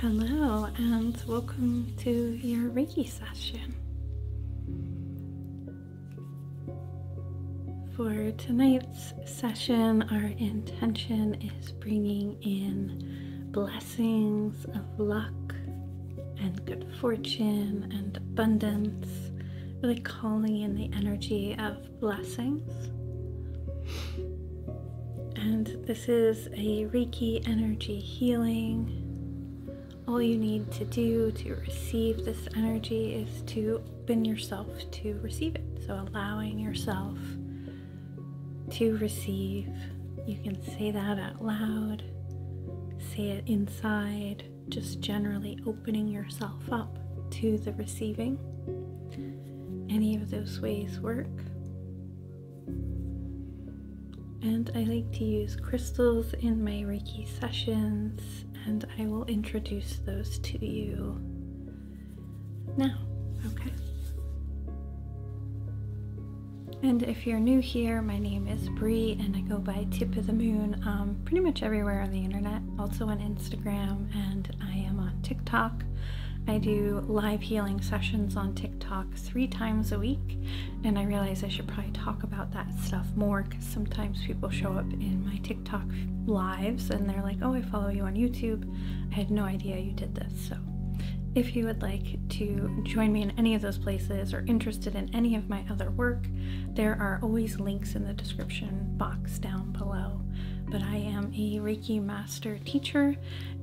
Hello, and welcome to your Reiki session. For tonight's session, our intention is bringing in blessings of luck and good fortune and abundance, really calling in the energy of blessings. And this. This is a Reiki energy healing. All you need to do to receive this energy is to open yourself to receive it. So, allowing yourself to receive. You can say that out loud, say it inside, just generally opening yourself up to the receiving. Any of those ways work. And I like to use crystals in my Reiki sessions, and I will introduce those to you now, okay? And if you're new here, my name is Bree, and I go by Tip of the Moon um, pretty much everywhere on the internet, also on Instagram and I am on TikTok. I do live healing sessions on TikTok three times a week, and I realize I should probably talk about that stuff more because sometimes people show up in my TikTok lives and they're like, Oh, I follow you on YouTube. I had no idea you did this. So, if you would like to join me in any of those places or interested in any of my other work, there are always links in the description box down below. But I am a Reiki master teacher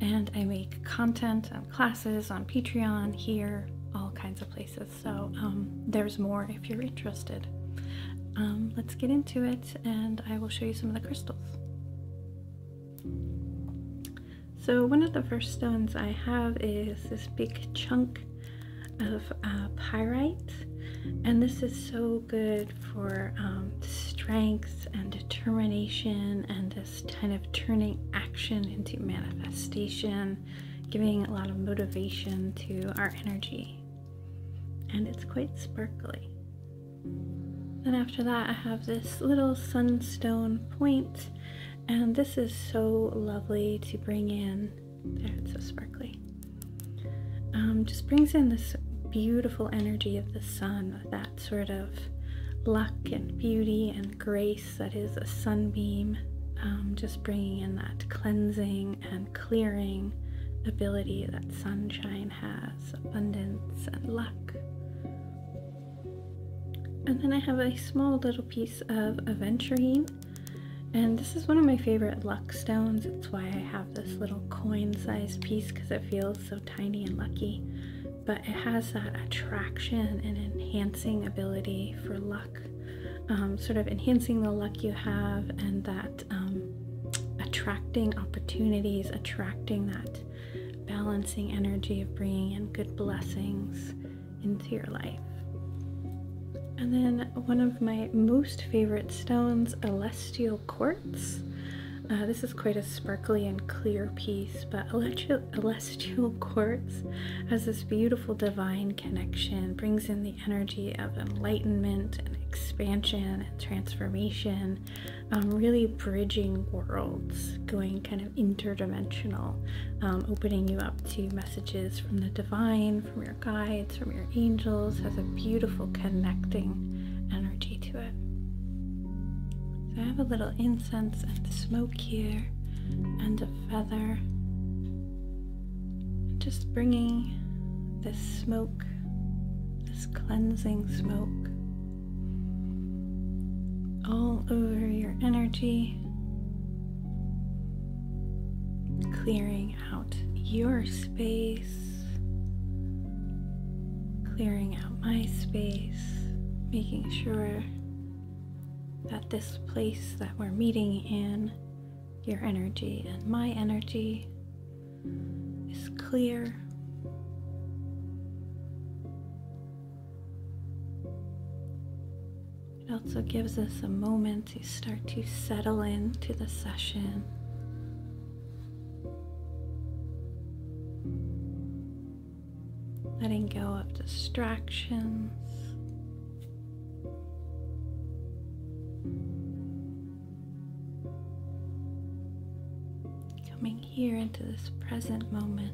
and I make content on classes on Patreon, here, all kinds of places. So um, there's more if you're interested. Um, let's get into it, and I will show you some of the crystals. So one of the first stones I have is this big chunk of uh, pyrite and this is so good for um, strength and determination and this kind of turning action into manifestation, giving a lot of motivation to our energy. And it's quite sparkly. Then after that, I have this little sunstone point, and this is so lovely to bring in. it's so sparkly. Um, just brings in this beautiful energy of the sun, that that sort of luck and beauty and grace that is a sunbeam, um, just bringing in that cleansing and clearing ability that sunshine has abundance and luck. And then I have a small little piece of aventurine. And this is one of my favorite luck stones. It's why I have this little coin sized piece because it feels so tiny and lucky but it has that attraction and enhancing ability for luck, um, sort of enhancing the luck you have and that um, attracting opportunities, attracting that balancing energy of bringing in good blessings into your life. And then one of my most favorite stones, Celestial quartz. Uh, this is quite a sparkly and clear piece, but celestial quartz has this beautiful divine connection, brings in the energy of enlightenment and expansion and transformation, um, really bridging worlds, going kind of interdimensional, um, opening you up to messages from the divine, from your guides, from your angels, has a beautiful connecting energy to it. I have a little incense and smoke here and a feather. Just bringing this smoke, this cleansing smoke, all over your energy, clearing out your space, clearing out my space, making sure that this place that we're meeting in, your energy and my energy, is clear. It also gives us a moment to start to settle into the session letting go of distractions. Coming here into this present moment.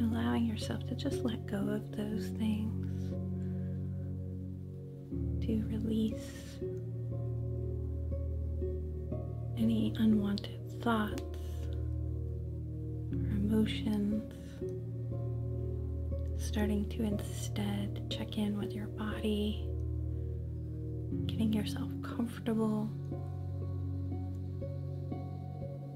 allowing yourself to just let go of those things, to release any unwanted thoughts or emotions, starting to instead check in with your body, getting yourself comfortable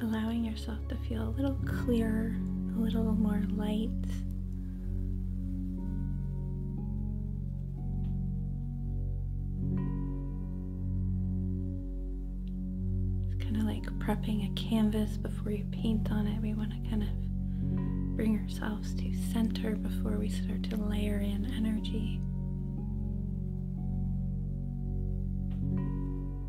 allowing yourself to feel a little clearer, a little more light. It's kind of like prepping a canvas before you paint on it. We want to kind of bring ourselves to center before we start to layer in energy.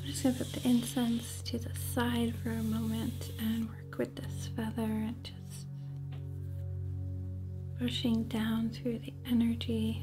I'm just going to put the incense to the side for a moment and work with this feather and just pushing down through the energy.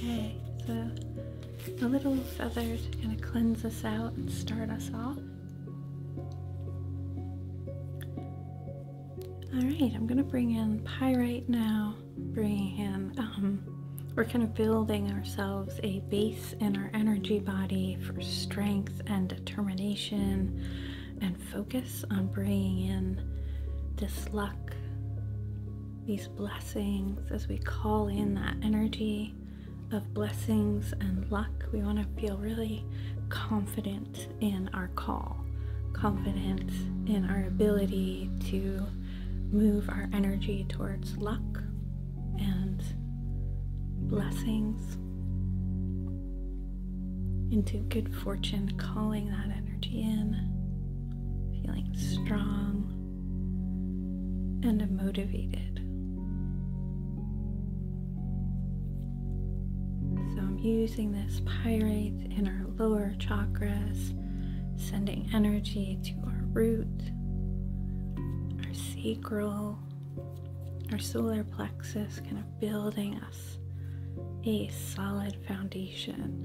Okay, so the little feathers are going to cleanse us out and start us off. Alright, I'm going to bring in pyrite now, bringing in, um, we're kind of building ourselves a base in our energy body for strength and determination and focus on bringing in this luck, these blessings, as we call in that energy of blessings and luck. We want to feel really confident in our call, confident in our ability to move our energy towards luck and blessings into good fortune, calling that energy in, feeling strong and motivated. So I'm using this pyrite in our lower chakras, sending energy to our root, our sacral, our solar plexus, kind of building up a solid foundation.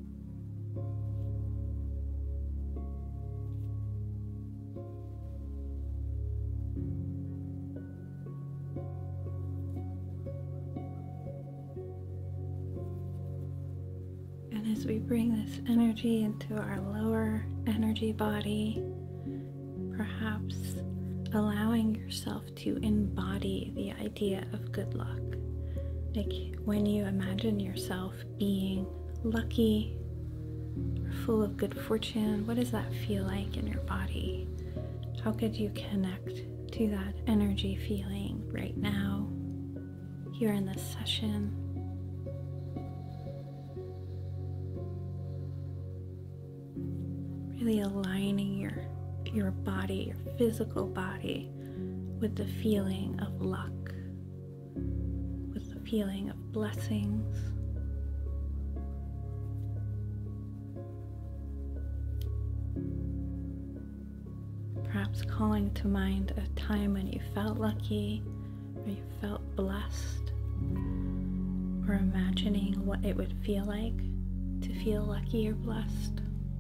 And as we bring this energy into our lower energy body, perhaps allowing yourself to embody the idea of good luck. Like when you imagine yourself being lucky full of good fortune, what does that feel like in your body? How could you connect to that energy feeling right now, here in this session? Really aligning your your body, your physical body with the feeling of luck, with the feeling of blessings. Perhaps calling to mind a time when you felt lucky or you felt blessed, or imagining what it would feel like to feel lucky or blessed.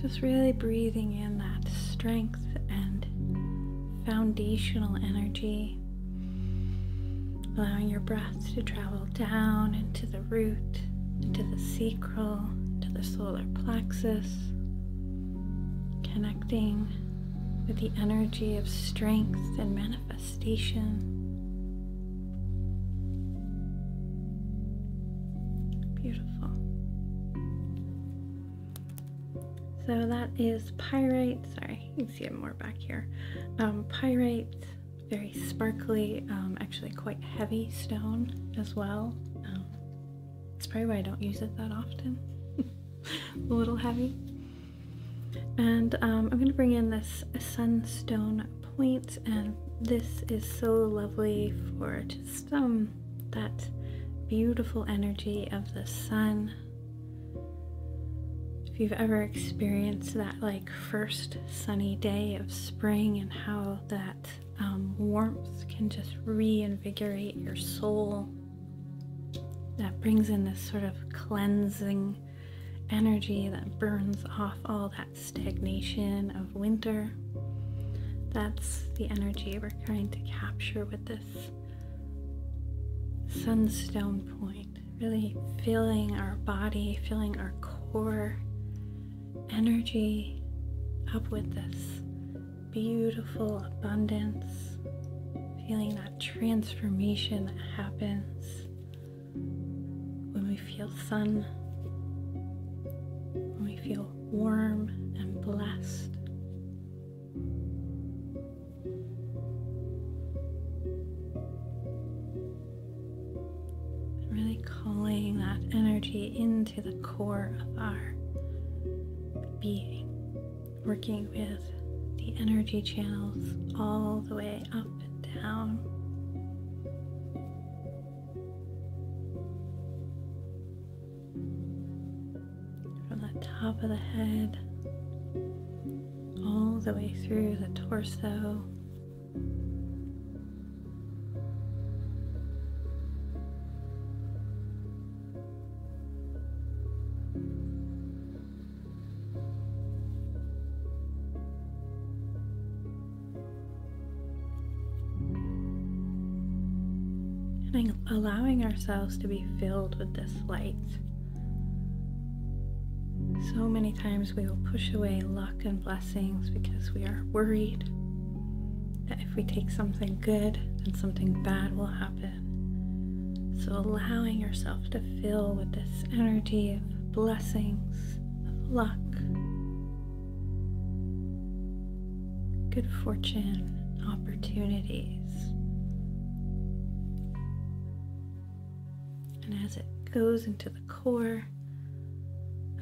just really breathing in that strength and foundational energy. Allowing your breath to travel down into the root, into the sacral, to the solar plexus, connecting with the energy of strength and manifestation. Beautiful. So that is pyrite. Sorry, you can see it more back here. Um, pyrite, very sparkly, um, actually quite heavy stone as well. Um, that's probably why I don't use it that often. a little heavy. And um, I'm going to bring in this sunstone point, and this is so lovely for just um, that beautiful energy of the sun. If you've ever experienced that like first sunny day of spring and how that um, warmth can just reinvigorate your soul, that brings in this sort of cleansing energy that burns off all that stagnation of winter. That's the energy we're trying to capture with this sunstone point. Really feeling our body, feeling our core energy up with this beautiful abundance, feeling that transformation that happens when we feel sun, when we feel warm and blessed. really calling that energy into the core of our being, working with the energy channels all the way up and down. From the top of the head all the way through the torso. And allowing ourselves to be filled with this light. So many times we will push away luck and blessings because we are worried that if we take something good, then something bad will happen. So allowing yourself to fill with this energy of blessings, of luck, good fortune, opportunities. And as it goes into the core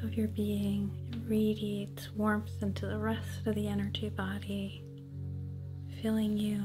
of your being, it radiates warmth into the rest of the energy body, filling you.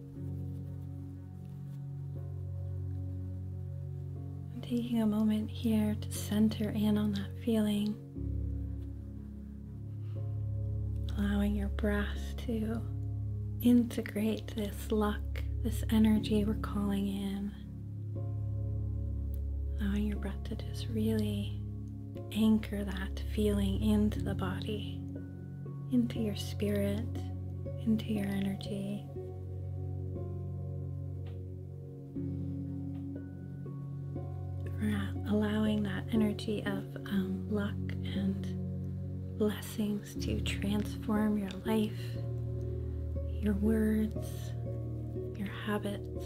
I'm taking a moment here to center in on that feeling, allowing your breath to integrate this luck, this energy we're calling in, allowing your breath to just really anchor that feeling into the body into your spirit, into your energy. allowing that energy of um, luck and blessings to transform your life, your words, your habits.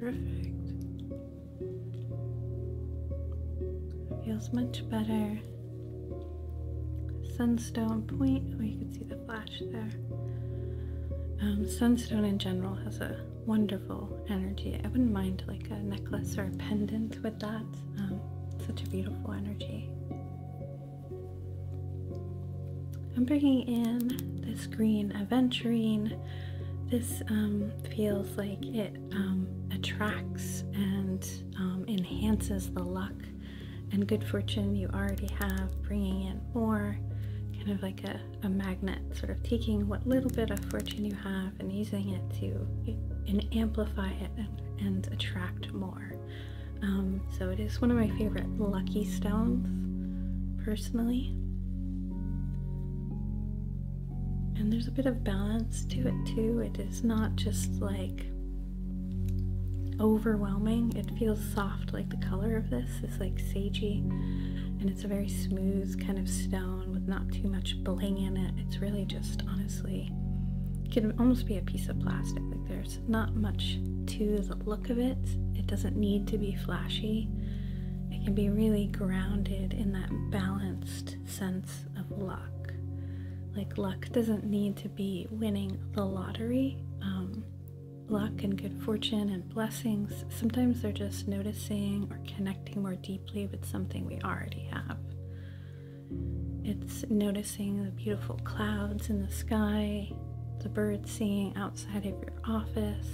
Perfect. Feels much better. Sunstone Point. Oh, you can see that flash there. Um, sunstone in general has a wonderful energy. I wouldn't mind like a necklace or a pendant with that. Um, such a beautiful energy. I'm bringing in this green aventurine. This um, feels like it attracts and enhances the luck and good fortune you already have, bringing in more, kind of like a, magnet, sort of taking what little bit of fortune you have and using it to and amplify it and, attract more. Um, so it is one of my favorite lucky stones, personally. And there's a bit of balance to it too. It is not just like overwhelming. It feels soft, like the color of this is like sagey, and it's a very smooth kind of stone with not too much bling in it. It's really just honestly can almost be a piece of plastic. Like there's not much to the look of it. It doesn't need to be flashy. It can be really grounded in that balanced sense of luck. Like luck doesn't need to be winning the lottery. Um, luck and good fortune and blessings. Sometimes they're just noticing or connecting more deeply with something we already have. It's noticing the beautiful clouds in the sky, the birds singing outside of your office.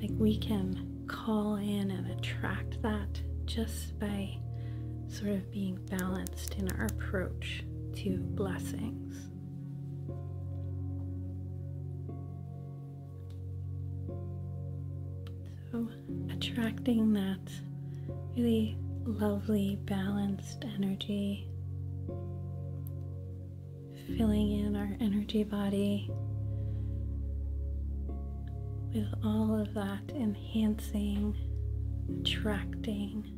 Like we can call in and attract that just by sort of being balanced in our approach to blessings. So, attracting that really lovely, balanced energy, filling in our energy body with all of that enhancing, attracting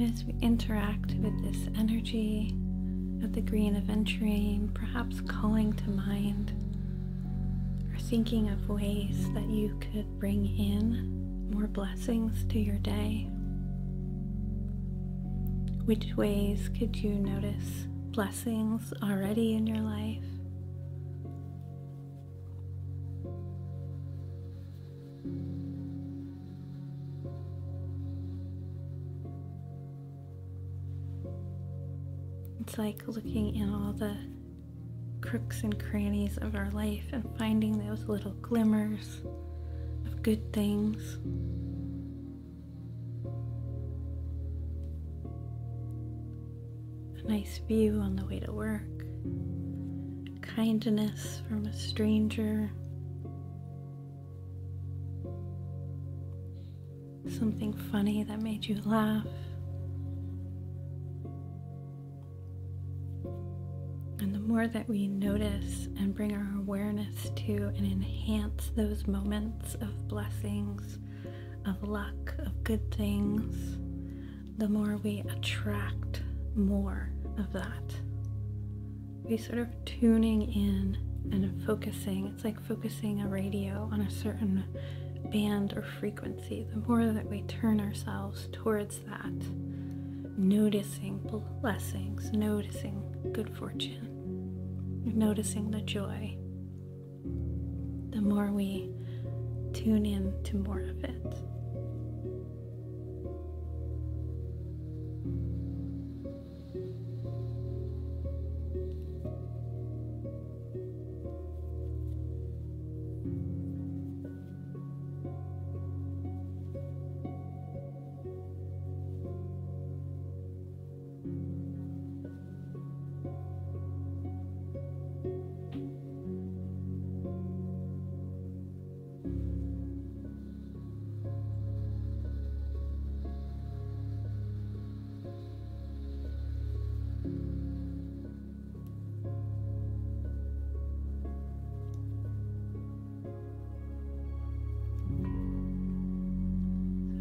And as we interact with this energy of the green of aventurine, perhaps calling to mind or thinking of ways that you could bring in more blessings to your day. Which ways could you notice blessings already in your life. It's like looking in all the crooks and crannies of our life and finding those little glimmers of good things. A nice view on the way to work, kindness from a stranger, something funny that made you laugh. And the more that we notice and bring our awareness to and enhance those moments of blessings of luck, of good things, the more we attract more of that. We sort of tuning in and focusing. It's like focusing a radio on a certain band or frequency. The more that we turn ourselves towards that, noticing blessings, noticing good fortune, noticing the joy, the more we tune in to more of it.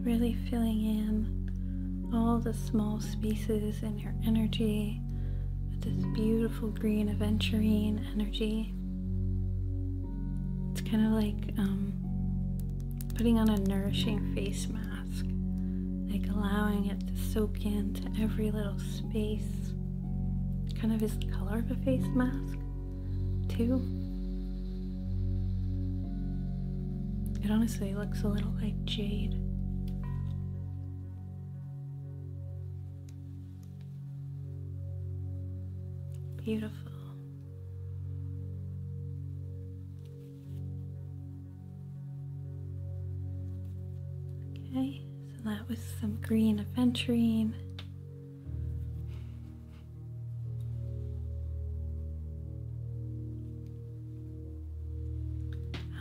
Really filling in all the small spaces in your energy with this beautiful green aventurine energy. It's kind of like um, putting on a nourishing face mask, like allowing it to soak into every little space. Kind of is the color of a face mask, too. It honestly looks a little like jade. Beautiful. Okay, so that was some green aventurine.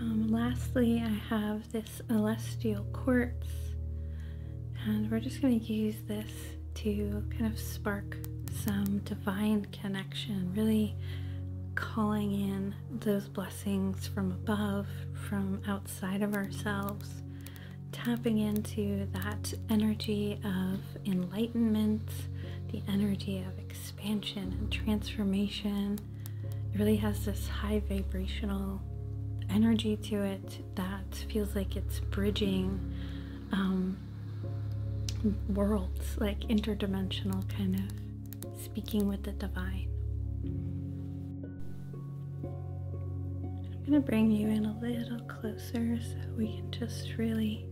Um, lastly, I have this celestial quartz, and we're just going to use this to kind of spark some divine connection, really calling in those blessings from above, from outside of ourselves, tapping into that energy of enlightenment, the energy of experience expansion and transformation. It really has this high vibrational energy to it that feels like it's bridging um, worlds, like interdimensional kind of speaking with the divine. I'm going to bring you in a little closer so we can just really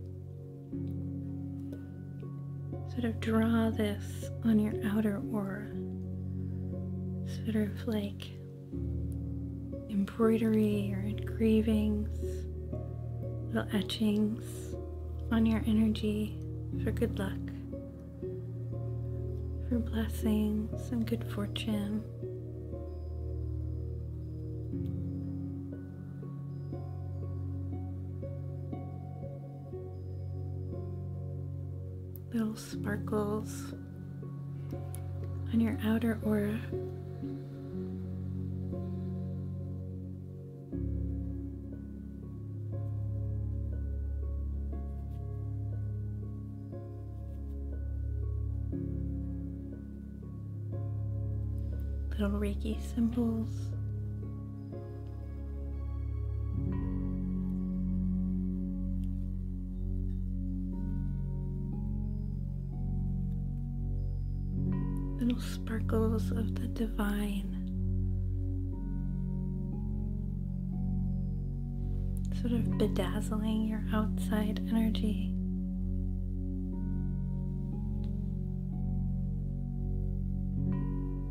Sort of draw this on your outer aura, sort of like embroidery or engravings, little etchings on your energy for good luck, for blessings and good fortune little sparkles on your outer aura. Little Reiki symbols Little sparkles of the divine. Sort of bedazzling your outside energy.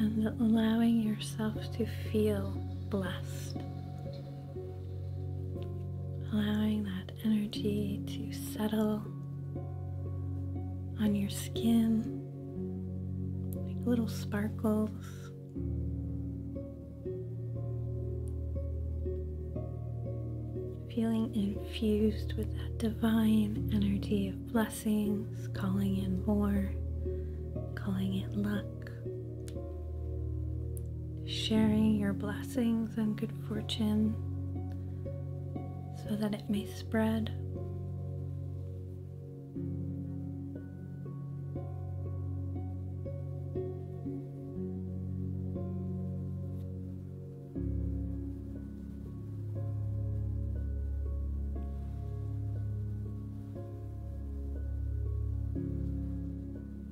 and allowing yourself to feel blessed allowing that energy to settle on your skin like little sparkles. Feeling infused with that divine energy of blessings, calling in more, calling in luck sharing your blessings and good fortune so that it may spread.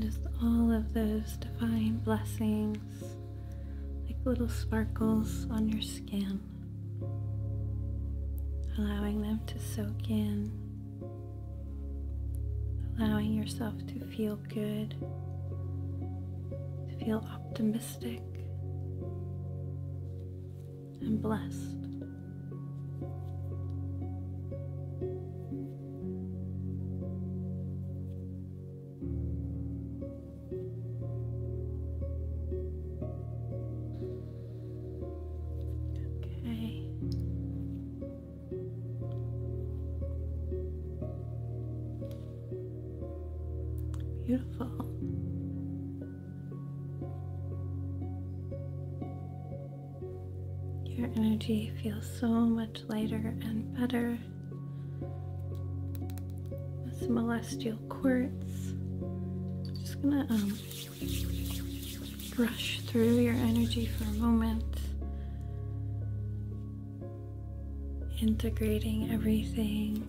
just all of those divine blessings, like little sparkles on your skin, allowing them to soak in, allowing yourself to to feel good, to feel optimistic and blessed. Okay. Beautiful. Your energy feels so much lighter and better. This celestial quartz. I'm just gonna um, brush through your energy for a moment integrating everything.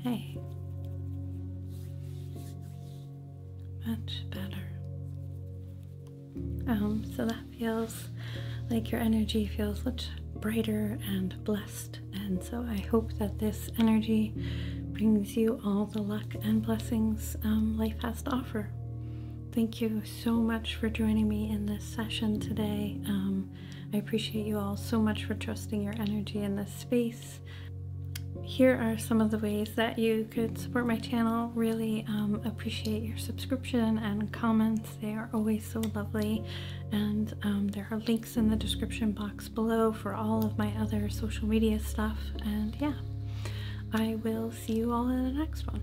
Okay. Much better. Um, so that feels like your energy feels much brighter and blessed. And so I hope that this energy brings you all the luck and blessings um, life has to offer. Thank you so much for joining me in this session today. Um, I appreciate you all so much for trusting your energy in this space. Here are some of the ways that you could support my channel. Really um, appreciate your subscription and comments. They are always so lovely. And um, there are links in the description box below for all of my other social media stuff. And yeah, I will see you all in the next one.